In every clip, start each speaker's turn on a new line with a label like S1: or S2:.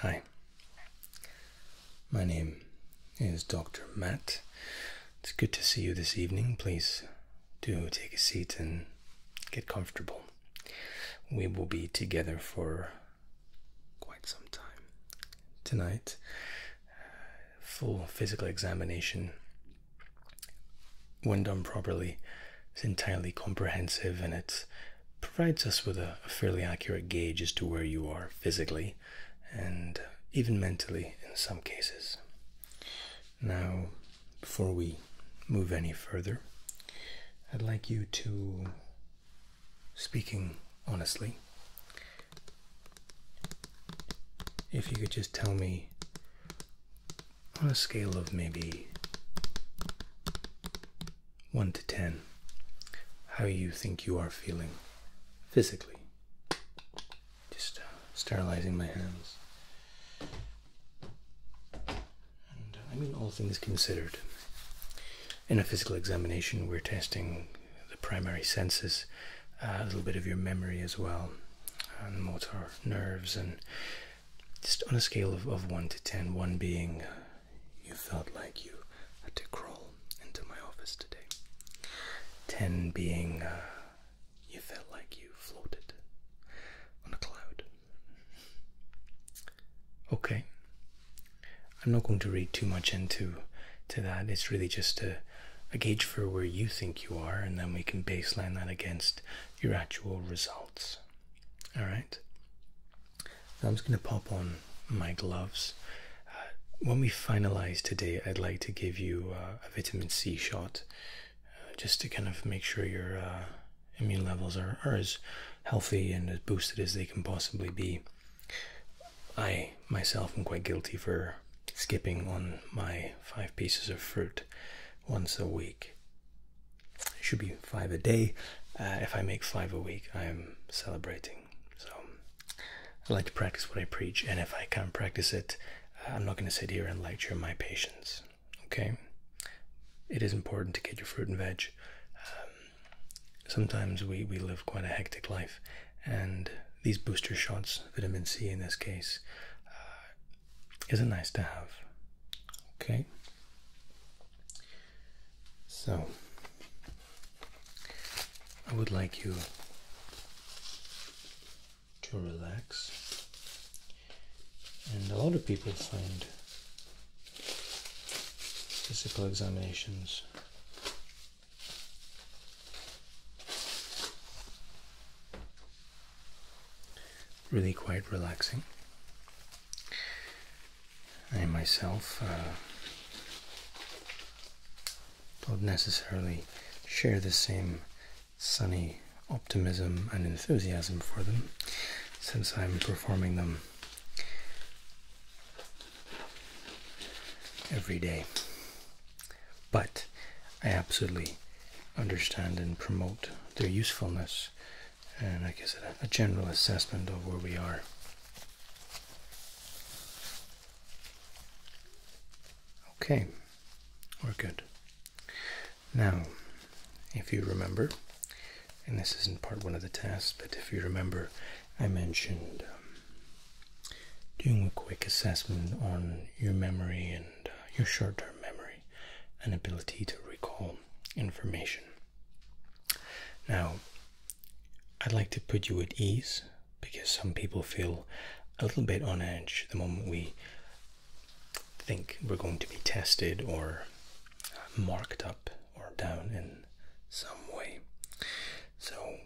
S1: Hi, my name is Dr. Matt. It's good to see you this evening. Please do take a seat and get comfortable. We will be together for quite some time. Tonight, full physical examination, when done properly, is entirely comprehensive and it's provides us with a, fairly accurate gauge as to where you are physically and even mentally in some cases. Now, before we move any further, I'd like you to, speaking honestly, if you could just tell me on a scale of maybe 1 to 10, how you think you are feeling physically. Just uh, sterilizing my hands. Uh, I mean, all things considered. In a physical examination, we're testing the primary senses, uh, a little bit of your memory as well, and motor nerves, and just on a scale of, 1 to ten, one being you felt like you had to crawl into my office today. Ten being uh, you felt like you floated on a cloud. Okay. I'm not going to read too much into to that. It's really just a gauge for where you think you are, and then we can baseline that against your actual results. All right. I'm just going to pop on my gloves. Uh, when we finalize today, I'd like to give you uh, a vitamin C shot uh, just to kind of make sure your immune levels are, are as healthy and as boosted as they can possibly be. I myself am quite guilty for skipping on my five pieces of fruit once a week. It should be five a day. Uh, if I make five a week, I'm celebrating. So I like to practice what I preach, and if I can't practice it, uh, I'm not going to sit here and lecture my patients. Okay? It is important to get your fruit and veg. Um, sometimes we, we live quite a hectic life, and these booster shots, vitamin C in this case, uh, is a nice to have. Okay? So, I would like you to relax, and a lot of people find physical examinations really quite relaxing. I myself uh, don't necessarily share the same sunny optimism and enthusiasm for them since I'm performing them every day. But I absolutely understand and promote their usefulness and I guess a, general assessment of where we are. Okay, we're good. Now, if you remember, and this isn't part one of the test, but if you remember, I mentioned um, doing a quick assessment on your memory and uh, your short term memory and ability to recall information. Now, I'd like to put you at ease because some people feel a little bit on edge the moment we think we're going to be tested or uh, marked up or down in some way. So,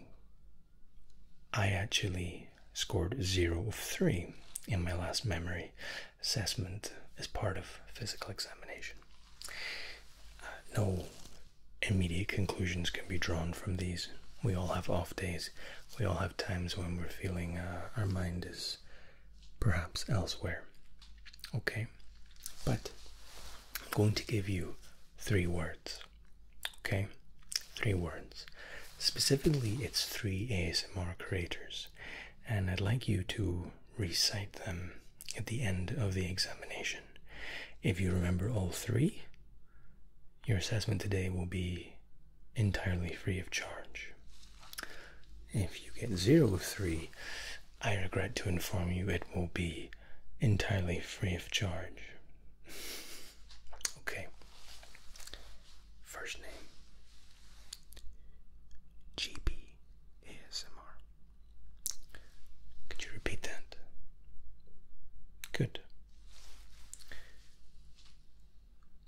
S1: I actually scored 0 of 3 in my last memory assessment as part of physical examination no immediate conclusions can be drawn from these. We all have off days. We all have times when we're feeling uh, our mind is perhaps elsewhere. Okay? But I'm going to give you three words. Okay? Three words. Specifically, it's three ASMR creators. And I'd like you to recite them at the end of the examination. If you remember all three, your assessment today will be entirely free of charge. If you get zero of three, I regret to inform you it will be entirely free of charge. Okay. First name. GB ASMR. Could you repeat that? Good.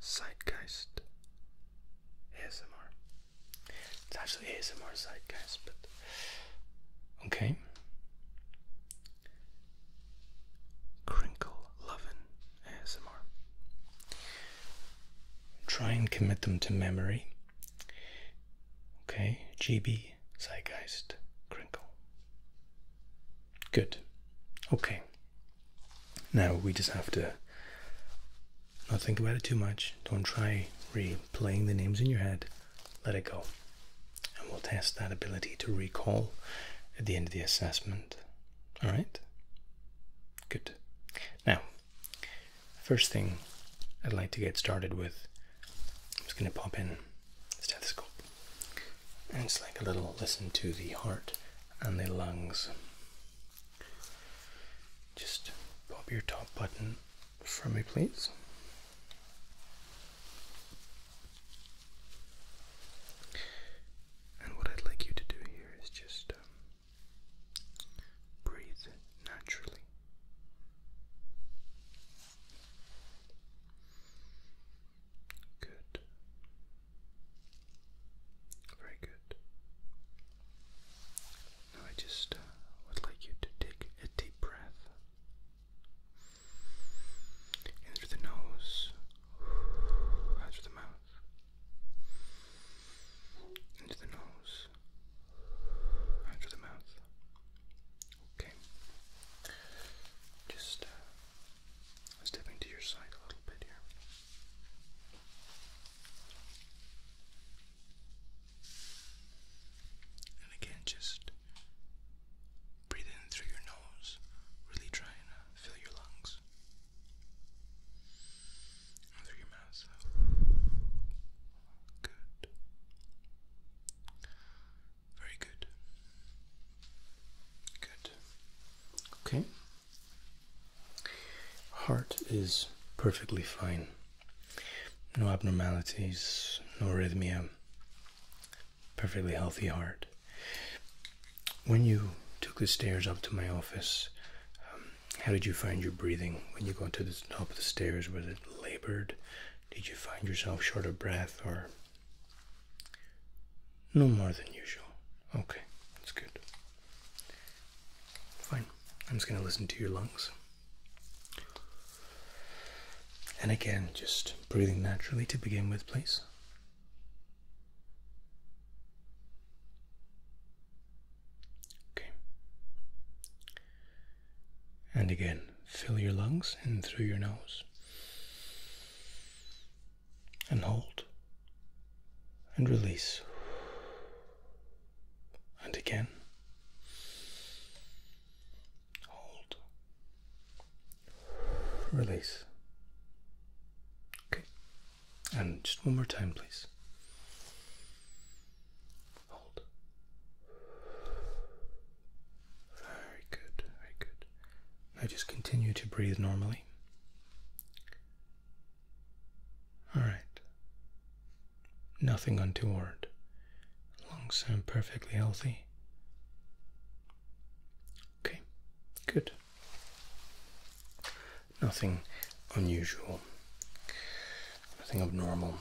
S1: Zeitgeist ASMR. It's actually ASMR Zeitgeist, but okay. Crinkle lovin' ASMR. Try and commit them to memory Okay, GB Zeitgeist Crinkle. Good. Okay. Now we just have to not think about it too much. Don't try replaying the names in your head. Let it go. And we'll test that ability to recall at the end of the assessment. Alright? Good. Now, First thing I'd like to get started with, I'm just going to pop in the stethoscope. And just like a little listen to the heart and the lungs. Just pop your top button for me, please. And what I'd like you to do here is just um, Breathe naturally. Good. Very good. Now I just uh, would like you to take a deep breath in the nose, out through the mouth, into the nose, out out the mouth. Okay. Just uh, stepping to your side a little bit here. And again, just breathe in through your nose. Really try and uh, fill your lungs and through Good. Very good. Good. Okay. Heart is perfectly fine. No abnormalities, no arrhythmia. Perfectly healthy heart. When you took the stairs up to my office, um, how did you find your breathing when you got to the top of the stairs? Was it labored? Did you find yourself short of breath or no more than usual? Okay, that's good. Fine. I'm just going to listen to your lungs. And again, just breathing naturally to begin with, please. Okay. And again, fill your lungs in through your nose and hold and release. And again, hold, release. Okay. And just one more time, please. Hold. Very good, very good. Now just continue to breathe normally. Alright. Nothing untoward. Lungs sound perfectly healthy. Okay, good nothing unusual, nothing abnormal.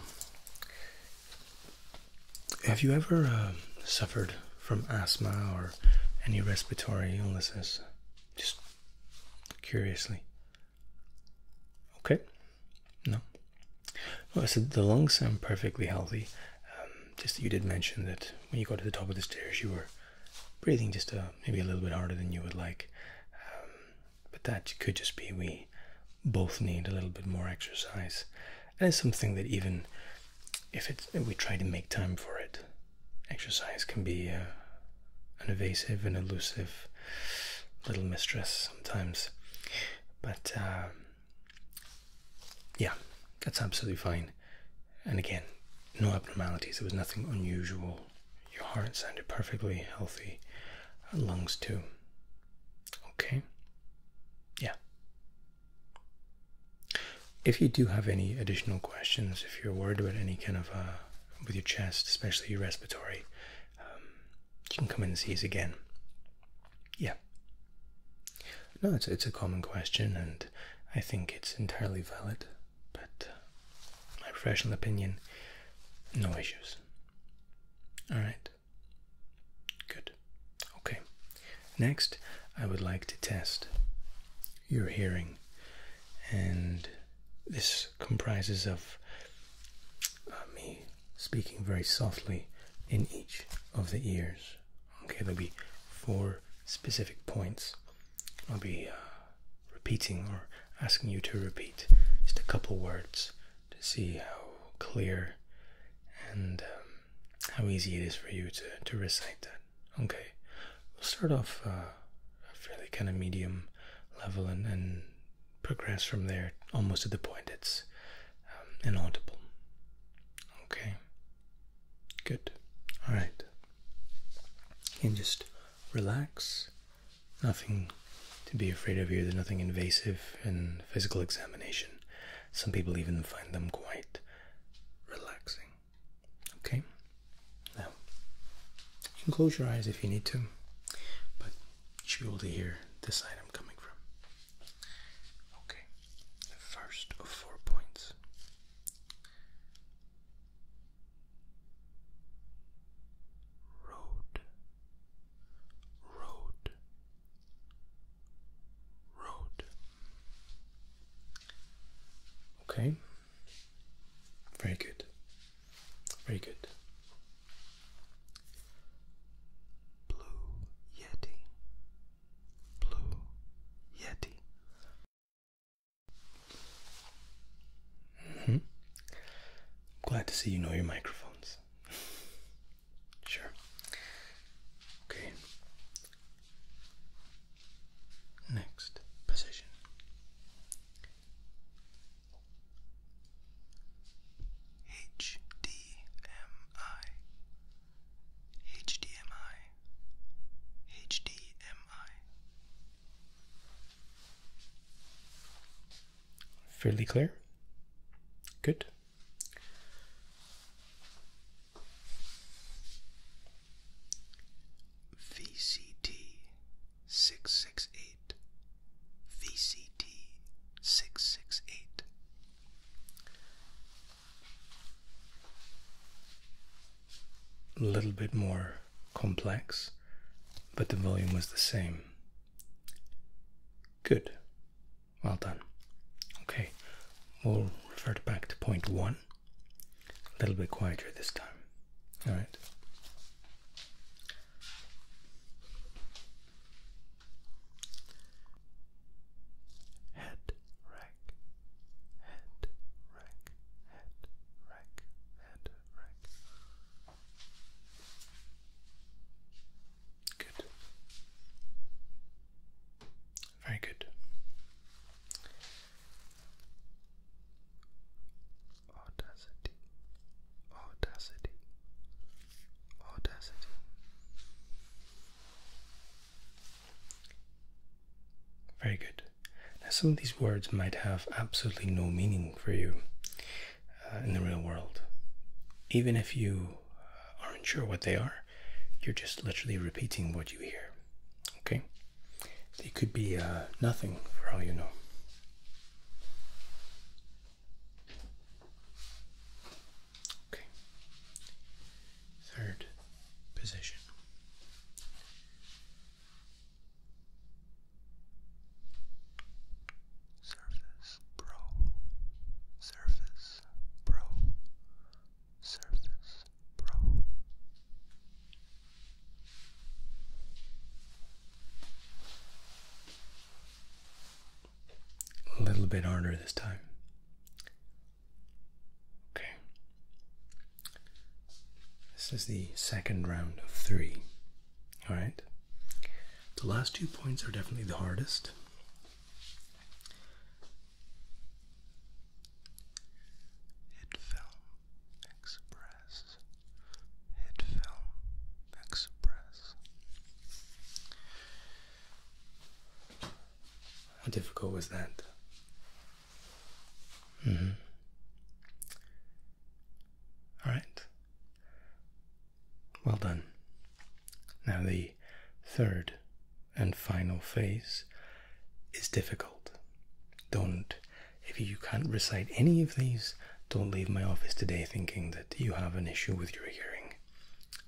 S1: Have you ever uh, suffered from asthma or any respiratory illnesses? Just curiously. Okay. No. Well, I said the lungs sound perfectly healthy. Um, just that you did mention that when you got to the top of the stairs, you were breathing just uh, maybe a little bit harder than you would like. Um, but that could just be we both need a little bit more exercise, and it's something that even if we try to make time for it, exercise can be uh, an evasive and elusive little mistress sometimes. But um, yeah, that's absolutely fine. And again, no abnormalities. There was nothing unusual your heart sounded perfectly healthy, lungs too. Okay? Yeah. If you do have any additional questions, if you're worried about any kind of, uh, with your chest, especially your respiratory, um, you can come in and see us again. Yeah. No, it's, it's a common question, and I think it's entirely valid but my professional opinion, no issues. All right. Good. Okay. Next, I would like to test your hearing, and this comprises of uh, me speaking very softly in each of the ears. Okay, there'll be four specific points. I'll be uh, repeating or asking you to repeat just a couple words to see how clear and um, how easy it is for you to, to recite that. Okay, we'll start off uh, a fairly kind of medium level and, then progress from there almost to the point it's um, inaudible. Okay, good. All right, and just relax Nothing to be afraid of here. There's nothing invasive in physical examination. Some people even find them quite relaxing. Okay? Now, you can close your eyes if you need to, but you should be able to hear this item coming from. Okay, the first of four points road, road, road. Okay, very good, very good. Blue Yeti, Blue Yeti. Hmm? glad to see you know your microphones. sure. Okay. Next position. HDMI. HDMI. HDMI. Fairly clear. Good. VCT six six eight. VCT six six eight. A little bit more complex but the volume was the same. Good. Well done. Okay, we'll revert back to point one. A little bit quieter this time. All right. Head rack, head rack, head rack, head rack. Good. Very good. Audacity, audacity, audacity. Very good. Now, some of these words might have absolutely no meaning for you uh, in the real world. Even if you aren't sure what they are, you're just literally repeating what you hear. Okay? They could be uh, nothing for all you know. Okay. Third position. Surface Pro, Surface Pro, Surface Pro. A little bit harder this time. Okay. This is the second round of three. Alright? The last two points are definitely the hardest. Hit film express. Hit film express. How difficult was that? Mm-hmm. All right. Well done. Now, the third and final phase is difficult. Don't, if you can't recite any of these, don't leave my office today thinking that you have an issue with your hearing.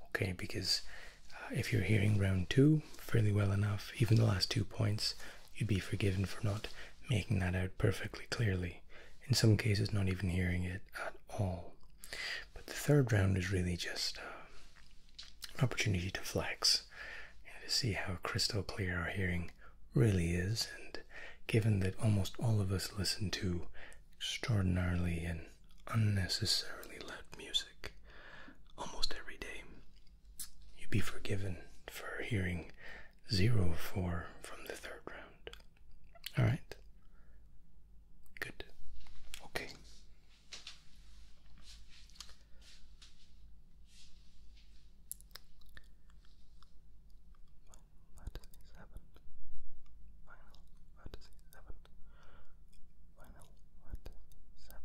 S1: Okay, because uh, if you're hearing round two fairly well enough, even the last two points you'd be forgiven for not making that out perfectly clearly, in some cases, not even hearing it at all. But the third round is really just uh, an opportunity to flex and to see how crystal clear our hearing really is. And given that almost all of us listen to extraordinarily and unnecessarily loud music almost every day, you'd be forgiven for hearing 0 4 from the third round. All right. Good. Okay. Fantasy 7. Final 7. Final 7.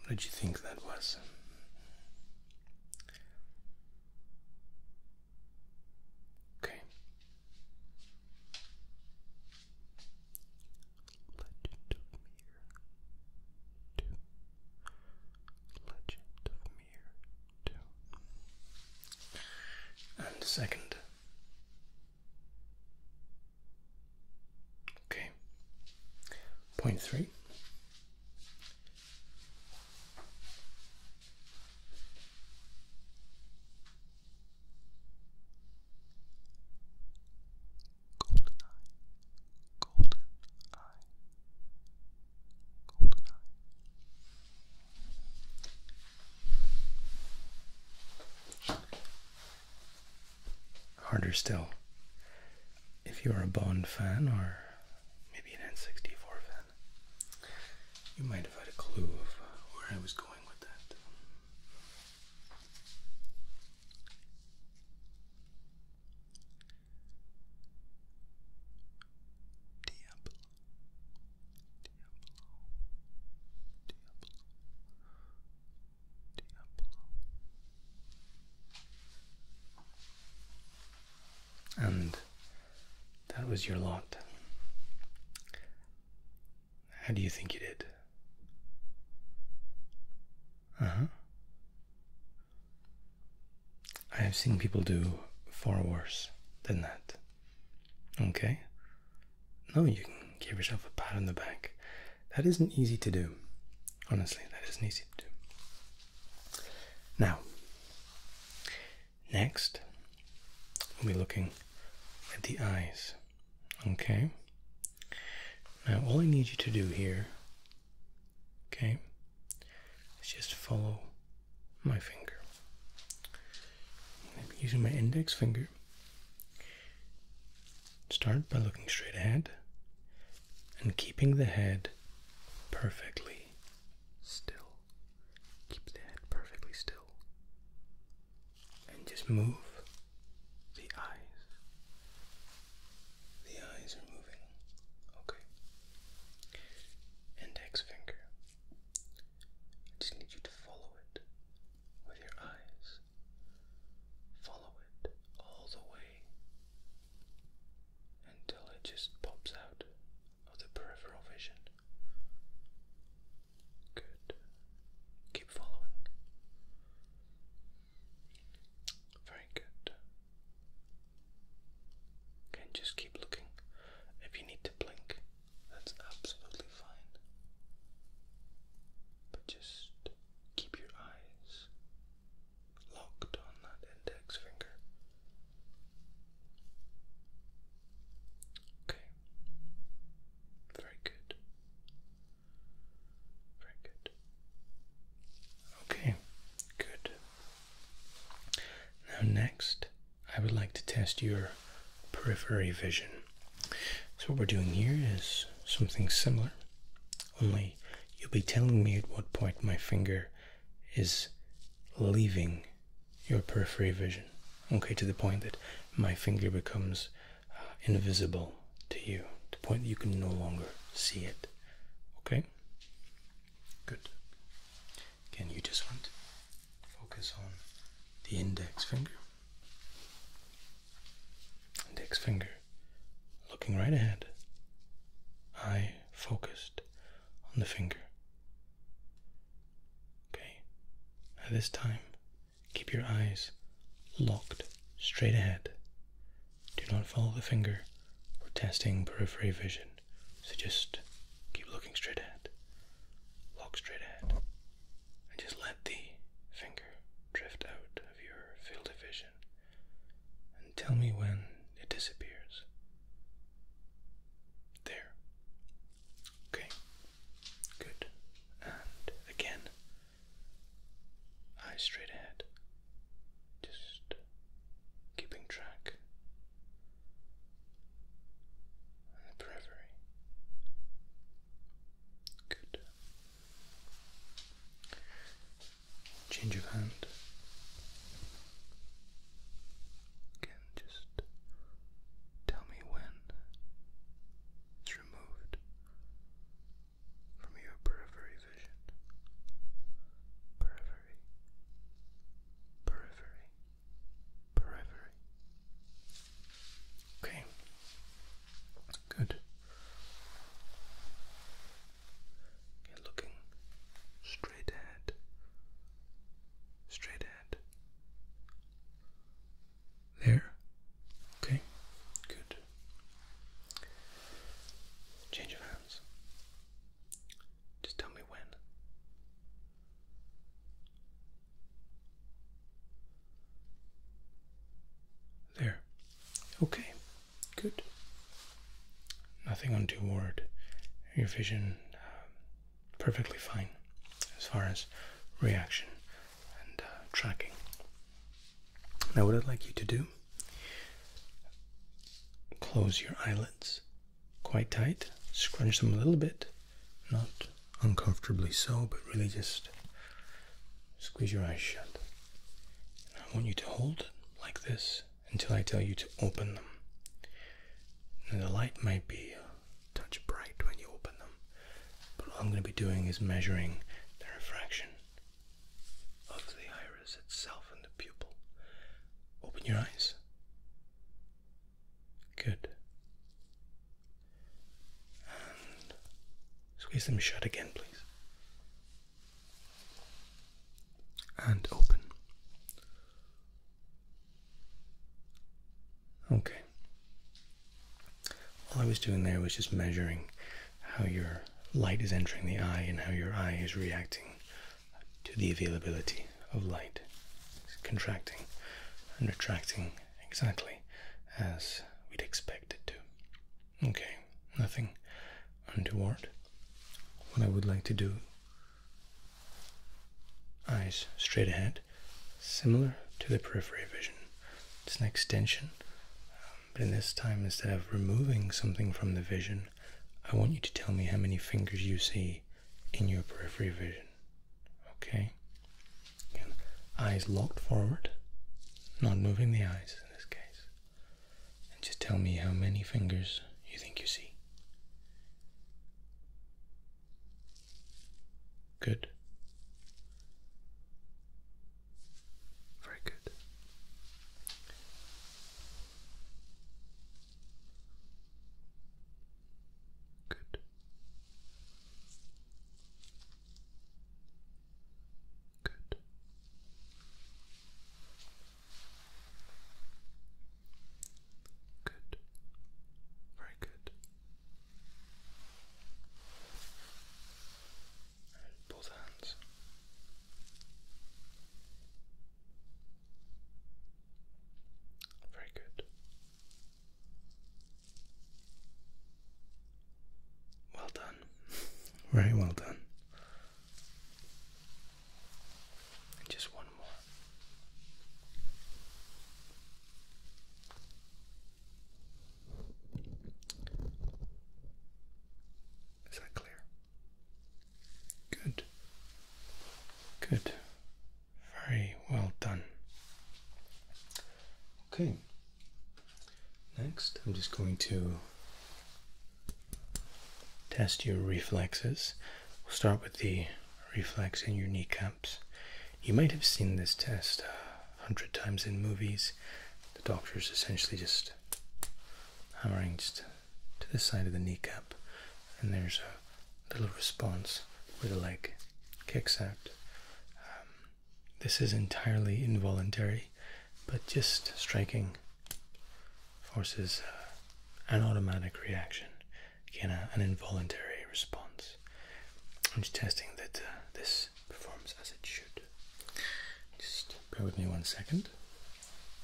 S1: What did you think that was? Okay. Legend of Mir 2. Legend of Mir 2. And second. Okay. Point three. Golden eye, golden eye, golden eye harder still. If you're a Bond fan or maybe an N64 fan, you might have had a clue of where I was going with that. Diablo. Diablo. Diablo. And that was your lot. How do you think you did? Uh huh. I have seen people do far worse than that. Okay? No, you can give yourself a pat on the back that isn't easy to do. Honestly, that isn't easy to do. Now, next, we'll be looking at the eyes. Okay? Now, all I need you to do here, okay, is just follow my finger. using my index finger. Start by looking straight ahead and keeping the head perfectly still. Keep the head perfectly still. And just move the eyes. The eyes are moving. Okay. Index finger. I just need you to follow it with your eyes. Follow it all the way until it just pops out of the peripheral vision. Good. Keep following. Very good. Can just keep looking. If you need to blink, that's absolutely fine. But just keep your eyes locked on that index finger. Okay. Very good. Very good. Okay, good. Now, next, I would like to test your periphery vision. So, what we're doing here is something similar. Only you'll be telling me at what point my finger is leaving your periphery vision. Okay, to the point that my finger becomes uh, invisible to you, to the point that you can no longer see it. Okay? Good. Again, you just want to focus on the index finger. Index finger looking right ahead, I focused on the finger. Okay, at this time, keep your eyes locked straight ahead. Do not follow the finger or testing periphery vision, so just keep looking straight ahead. Lock straight ahead and just let the finger drift out of your field of vision and tell me when it disappears. There. Okay. Good. And again, eyes straight ahead. Just keeping track periphery. Good change of hand. Again, just tell me when it's removed from your periphery vision. Periphery, periphery, periphery. Okay. Good. looking straight ahead. Straight ahead. There. Okay. Good. Change of hands. Just tell me when. There. Okay. Good. Nothing on untoward. Your vision um, perfectly fine as far as reaction and uh, tracking. Now, what I'd like you to do close your eyelids quite tight, scrunch them a little bit, not uncomfortably so, but really just squeeze your eyes shut. I want you to hold like this until I tell you to open them. Now the light might be touch bright when you open them, but all I'm going to be doing is measuring the refraction of the iris itself and the pupil. Open your eyes. Good. Squeeze them shut again, please. And open. Okay. All I was doing there was just measuring how your light is entering the eye and how your eye is reacting to the availability of light. It's contracting and retracting exactly as we'd expect it to. Okay nothing untoward. What I would like to do, eyes straight ahead, similar to the periphery vision. It's an extension, um, but in this time, instead of removing something from the vision, I want you to tell me how many fingers you see in your periphery vision. Okay? eyes locked forward, not moving the eyes in this case. And just tell me how many fingers you think you see. Good. Very good. Good. Good. Good. Very good. both hands. Very good. Well done. Very well done. just one more. Is that clear? Good. Good. Very well done. Okay, Next, I'm just going to test your reflexes. We'll start with the reflex in your kneecaps. You might have seen this test a hundred times in movies. The doctor is essentially just hammering just to the side of the kneecap, and there's a little response where the leg kicks out. Um, this is entirely involuntary, but just striking forces uh, an automatic reaction, again, an involuntary response. I'm just testing that uh, this performs as it should. Just bear with me one second.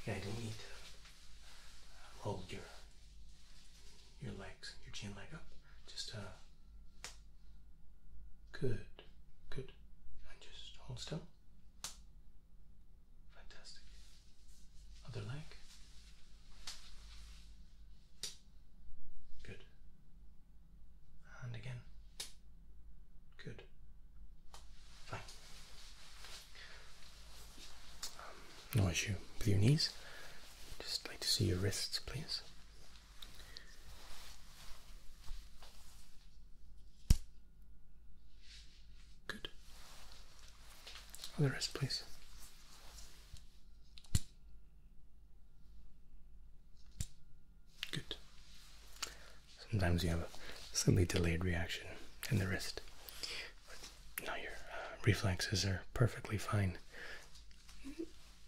S1: Okay, I not need to uh, your, your legs, your chin leg up. Just, good. Good. And just hold still. Fantastic. Other leg. Good. And again. Good. Fine. Um, no issue with your knees. Just like to see your wrists, please. Good. the rest, please. Good. Sometimes you have a slightly delayed reaction in the wrist. But now your uh, reflexes are perfectly fine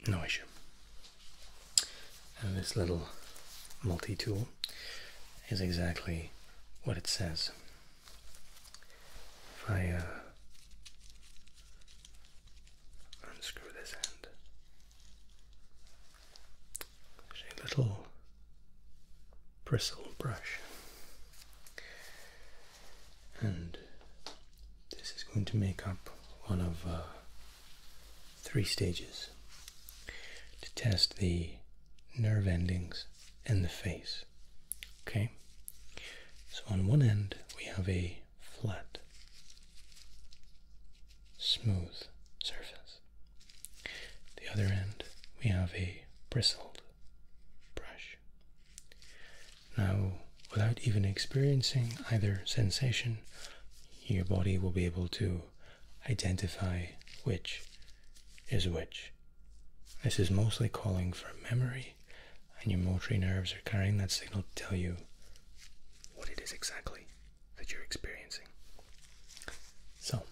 S1: no issue. And this little multi-tool is exactly what it says. If I uh, unscrew this end, there's a little bristle brush, and this is going to make up one of uh, three stages to test the nerve endings in the face. Okay? So on one end, we have a flat, smooth surface. The other end, we have a bristled brush. Now, without even experiencing either sensation, your body will be able to identify which is which. This is mostly calling for memory, and your motory nerves are carrying that signal to tell you what it is exactly that you're experiencing. So,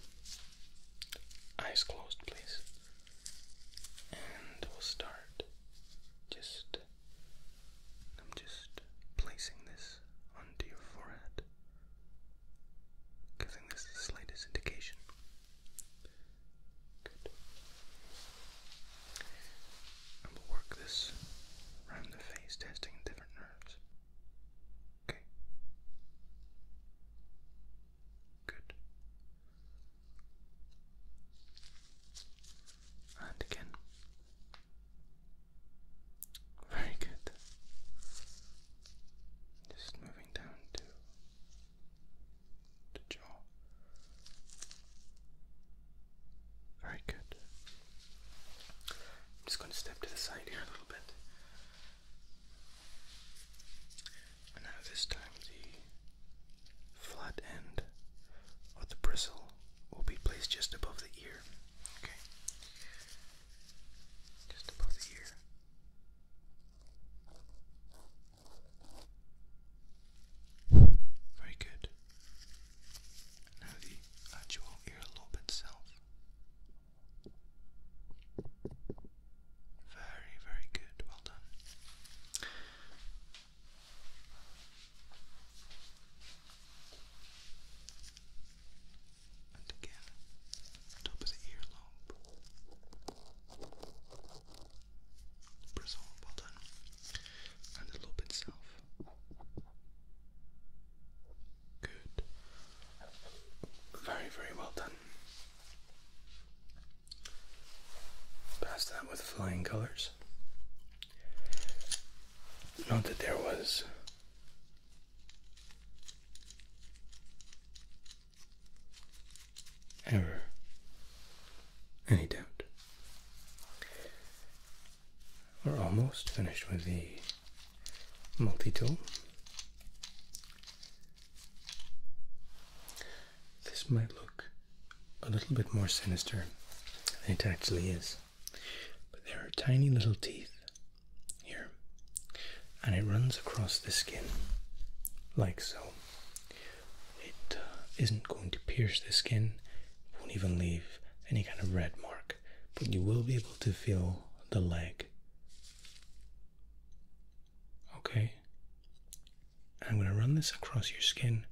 S1: eyes closed, please. And we'll start just I'm just placing this onto your forehead, giving this the slightest indication. Good. And we'll work this around the face, testing different nerves. Okay. Good. And again. Very good. Just moving down to the jaw. Very good. I'm just going to step to the side here a little bit. And now, this time, the flat end of the bristle will be placed just above the ear. Okay. Just above the ear. Very good. Now the actual earlobe itself. Very, very good. Well done. And again, top of the earlobe. Press well done. And the lobe itself. Good. Very, very well done. Pass that with flying colors. Not that there was ever any doubt. We're almost finished with the multi-tool. This might look a little bit more sinister than it actually is. But there are tiny little teeth here, and it runs across the skin like so. It uh, not going to pierce the skin, won't even leave any kind of red mark, but you will be able to feel the leg. Okay, I'm going to run this across your skin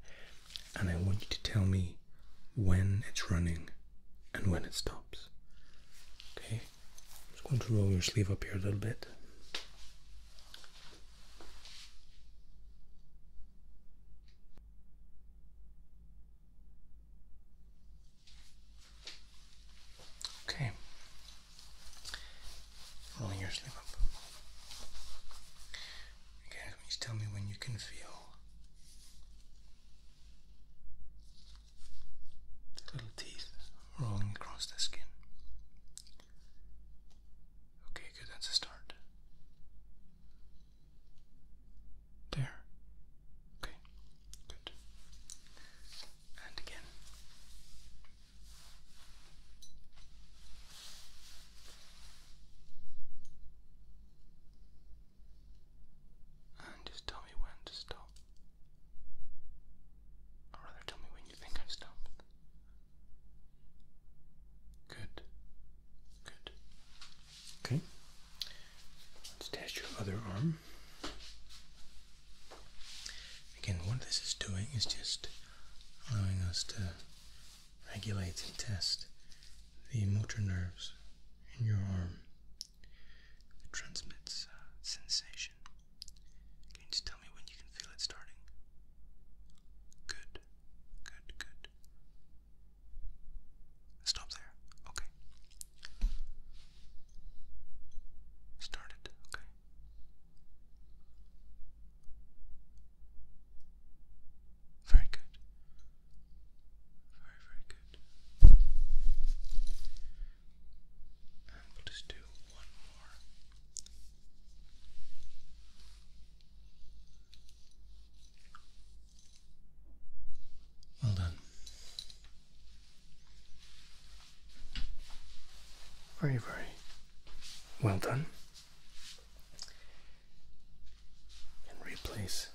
S1: and I want you to tell me when it's running and when it stops. Okay, I'm just going to roll your sleeve up here a little bit. Okay, rolling your sleeve up. Okay, can tell me when you can feel little teeth rolling across the skin? Okay, good, that's a start. There. Okay, good. And again. And just tell me when to stop. Or rather, tell me when you think I've Good. Good. Okay. Let's test your other arm. Again, what this is doing is just allowing us to regulates and tests the motor nerves in your arm. transmits uh, sensation. Can you just tell me when you can feel it starting? Good, good, good. Stop there. Okay. Start Okay. Very good. Very, very good. And we'll just do one more. Well done. Very, very well done and replace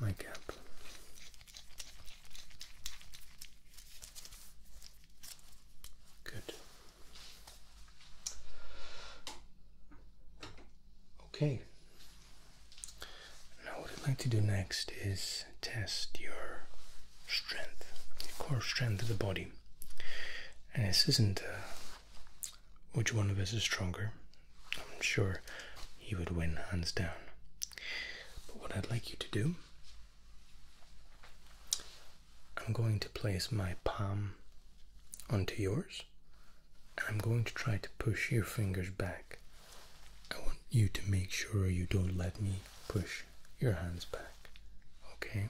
S1: my cap. Good. Okay. Now, what I'd like to do next is test your strength, your core strength of the body. And this isn't uh, which one of us is stronger. I'm sure he would win hands down. But what I'd like you to do, I'm going to place my palm onto yours, I'm going to try to push your fingers back. I want you to make sure you don't let me push your hands back. Okay?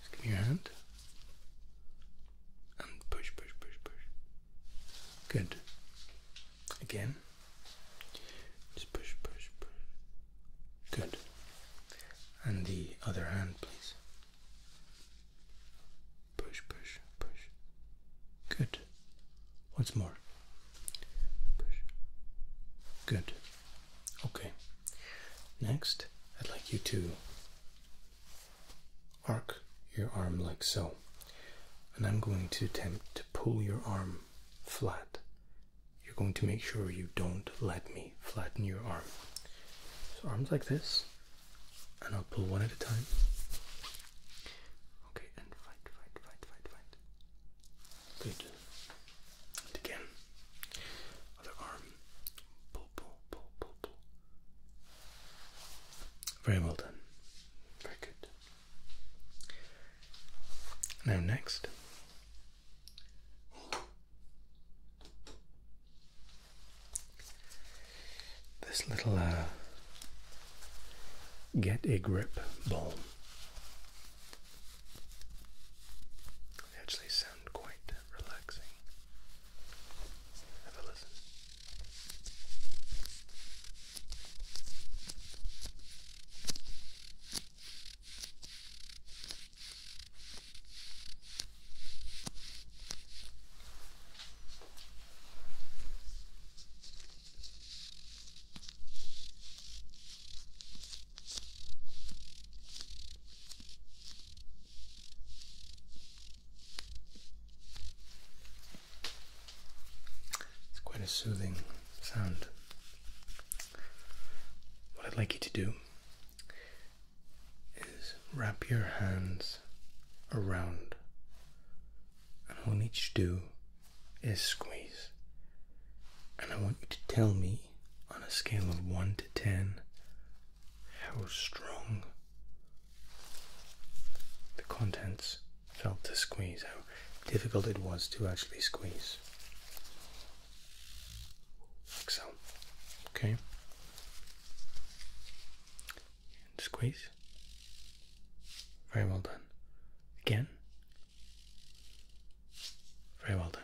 S1: Just give me your hand. And um, push, push, push, push. Good. Again. Just push, push, push. Good. And the other hand, please. Push, push, push. Good. Once more. Push. Good. Okay. Next, I'd like you to arc your arm like so. And I'm going to attempt to pull your arm flat. You're going to make sure you don't let me flatten your arm. So, arms like this, and I'll pull one at a time. Okay, and fight, fight, fight, fight, fight. Good. again. Other arm. Pull, pull, pull, pull, pull. Very well done. Very good. Now, next. This little uh, get a grip ball. They actually sound quite relaxing. Have a listen. It's quite a soothing sound. What I'd like you to do is wrap your hands around, and all you need to do is squeeze. And I want you to tell me on a scale of 1 to 10 how strong the contents felt to squeeze, how difficult it was to actually squeeze. Like so. Okay. And squeeze. Very well done. Again. Very well done.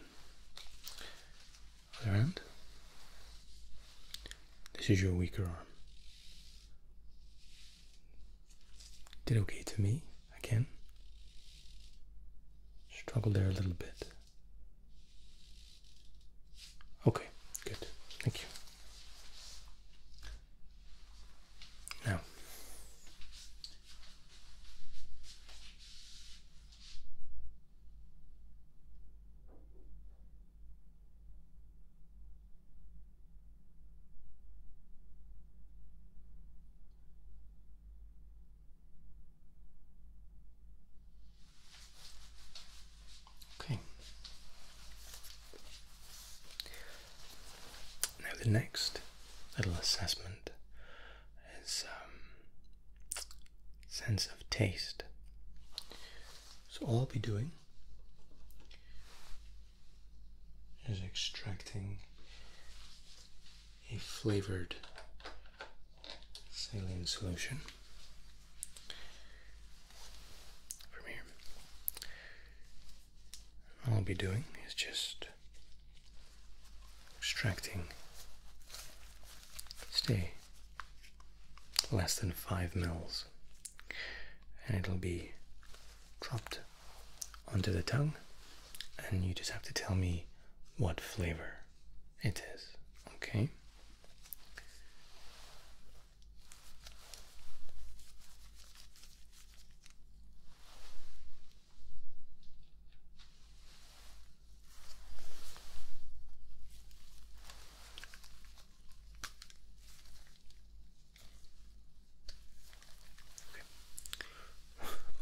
S1: Other hand. This is your weaker arm. Did okay to me again. Struggled there a little bit. Okay, good. Thank you. Now, Okay. Now, the next little assessment his um, sense of taste. So, all I'll be doing is extracting a flavored saline solution from here. All I'll be doing is just extracting stay less than 5 mils and it'll be dropped onto the tongue and you just have to tell me what flavor it is okay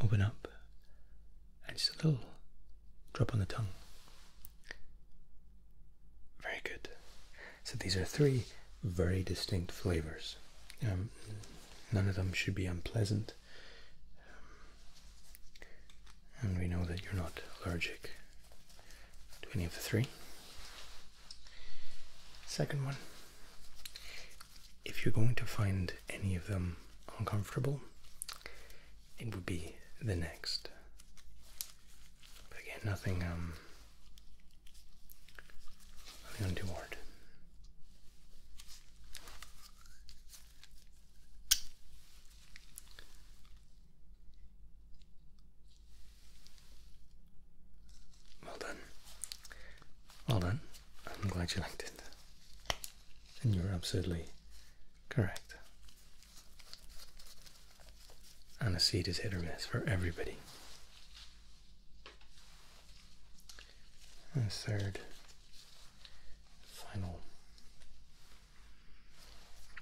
S1: Open up and just a little drop on the tongue. Very good. So these are three very distinct flavors. Um, none of them should be unpleasant. Um, and we know that you're not allergic to any of the three. Second one if you're going to find any of them uncomfortable, it would be the next. But again, nothing, um, nothing untoward. Well done. Well done. I'm glad you liked it. And you are absolutely correct. And a seat is hit or miss for everybody and third final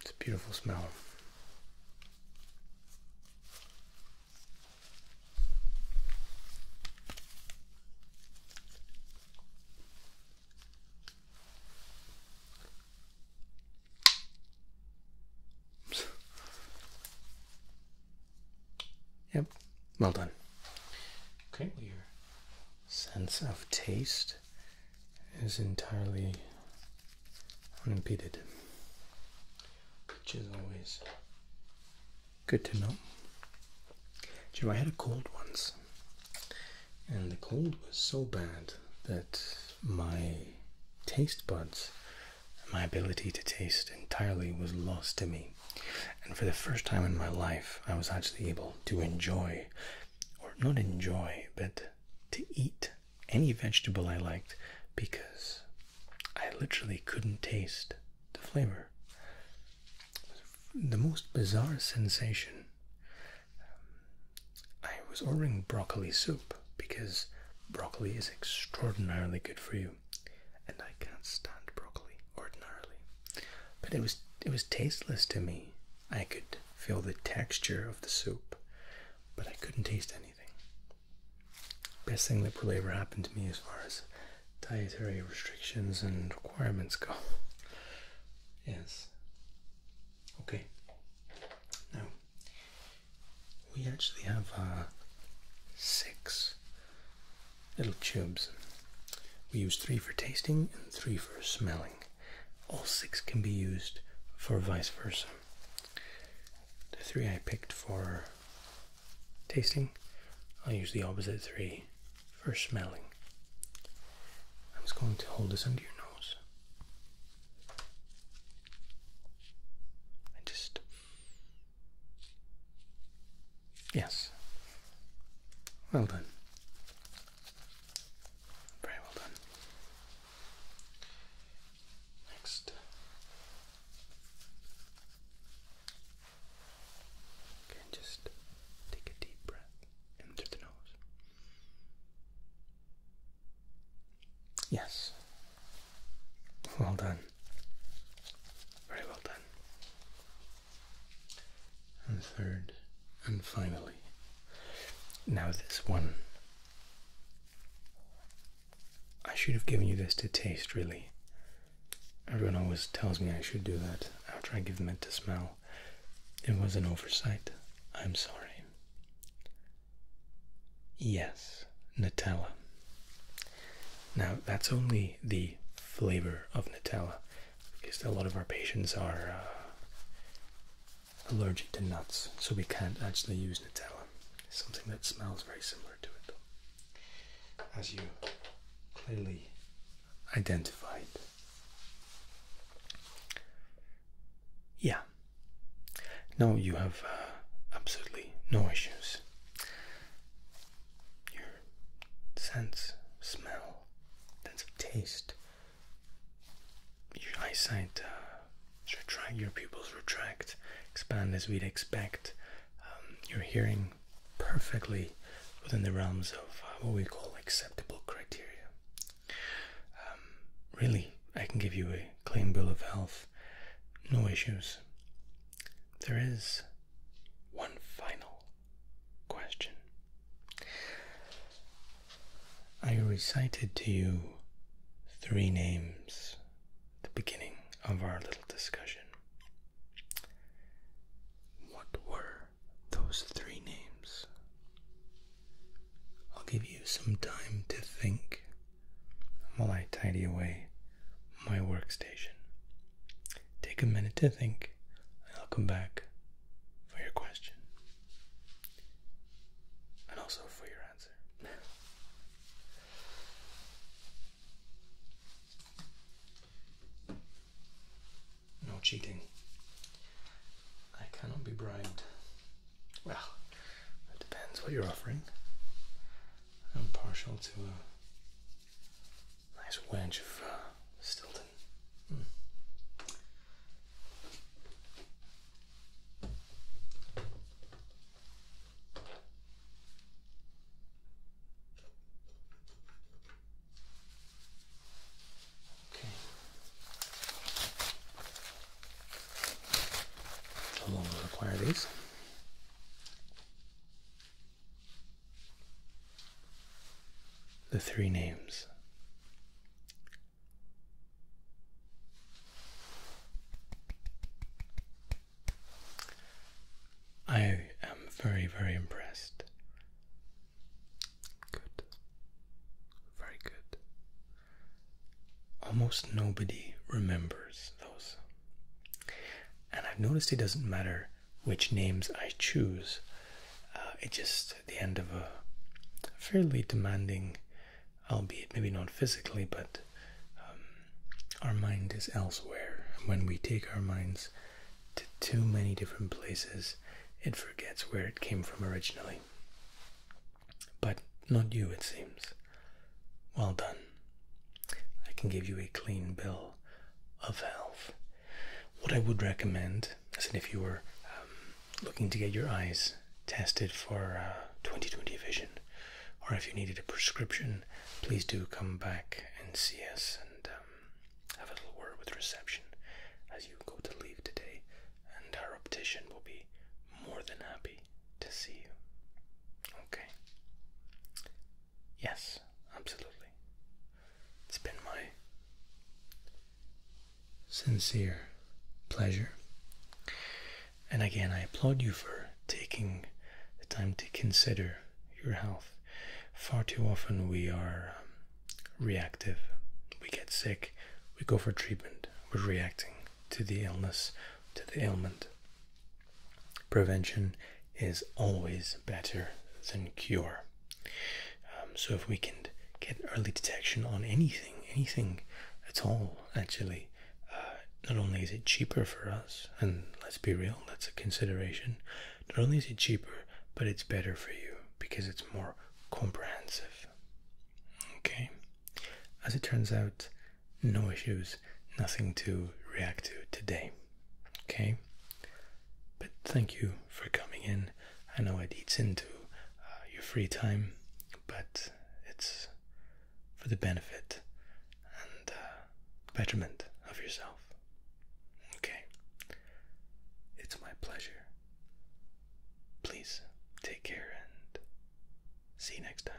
S1: it's a beautiful smell Yep, well done. your sense of taste is entirely unimpeded, which is always good to know. Jim, I had a cold once, and the cold was so bad that my taste buds, my ability to taste entirely, was lost to me. And for the first time in my life, I was actually able to enjoy, or not enjoy, but to eat any vegetable I liked because I literally couldn't taste the flavor. The most bizarre sensation. Um, I was ordering broccoli soup because broccoli is extraordinarily good for you and I can't stand broccoli ordinarily. But it was it was tasteless to me. I could feel the texture of the soup, but I couldn't taste anything. Best thing that will ever happen to me as far as dietary restrictions and requirements go. Yes. Okay. Now we actually have uh, six little tubes. We use three for tasting and three for smelling. All six can be used for vice versa. The three I picked for tasting, I'll use the opposite three for smelling. I'm just going to hold this under your nose. And just Yes. Well done. Very well done. Next. Okay, just take a deep breath in through the nose. Yes. Well done. Very well done. And third, and finally, now this one. I should have given you this to taste, really. Everyone always tells me I should do that after I give them it to smell. It was an oversight. I'm sorry. Yes, Nutella. Now, that's only the flavor of Nutella because a lot of our patients are uh, allergic to nuts, so we can't actually use Nutella. something that smells very similar to it, though, as you clearly identified. Yeah. No, you have uh, absolutely no issues your sense of smell, sense of taste. Your eyesight uh, retract, your pupils retract, expand as we'd expect. Um, you're hearing perfectly within the realms of uh, what we call acceptable criteria. Um, really, I can give you a clean bill of health, no issues there is one final question. I recited to you three names at the beginning of our little discussion. What were those three names? I'll give you some time to think while I tidy away my workstation. Take a minute to think, and I'll come back for your question and also for your answer. no cheating. I cannot be bribed. Well, it depends what you're offering. I'm partial to uh, Nice wedge of uh, Stilton. Hmm. Okay. How long will require these? the three names. I am very, very impressed. Good. Very good. Almost nobody remembers those. And I've noticed it doesn't matter which names I choose, uh, It just at the end of a fairly demanding, albeit maybe not physically, but um, our mind is elsewhere. When we take our minds to too many different places, it forgets where it came from originally. But not you, it seems. Well done. I can give you a clean bill of health. What I would recommend is that if you were um, looking to get your eyes tested for uh, 2020 vision, or if you needed a prescription, please do come back and see us and um, have a little word with reception as you go to leave today, and our optician will be more than happy to see you. Okay. Yes absolutely. It's been my sincere pleasure. And again, I applaud you for taking the time to consider your health. Far too often we are um, reactive. We get sick, we go for treatment, we're reacting to the illness, to the ailment. Prevention is always better than cure. Um, so if we can get early detection on anything, anything at all, actually, uh, not only is it cheaper for us, and let's be real, that's a consideration, not only is it cheaper, but it's better for you because it's more comprehensive. Okay. As it turns out, no issues, nothing to react to today. Okay? But thank you for coming in. I know it eats into uh, your free time, but it's for the benefit and betterment uh, of yourself. Okay? It's my pleasure. Please take care and see you next time.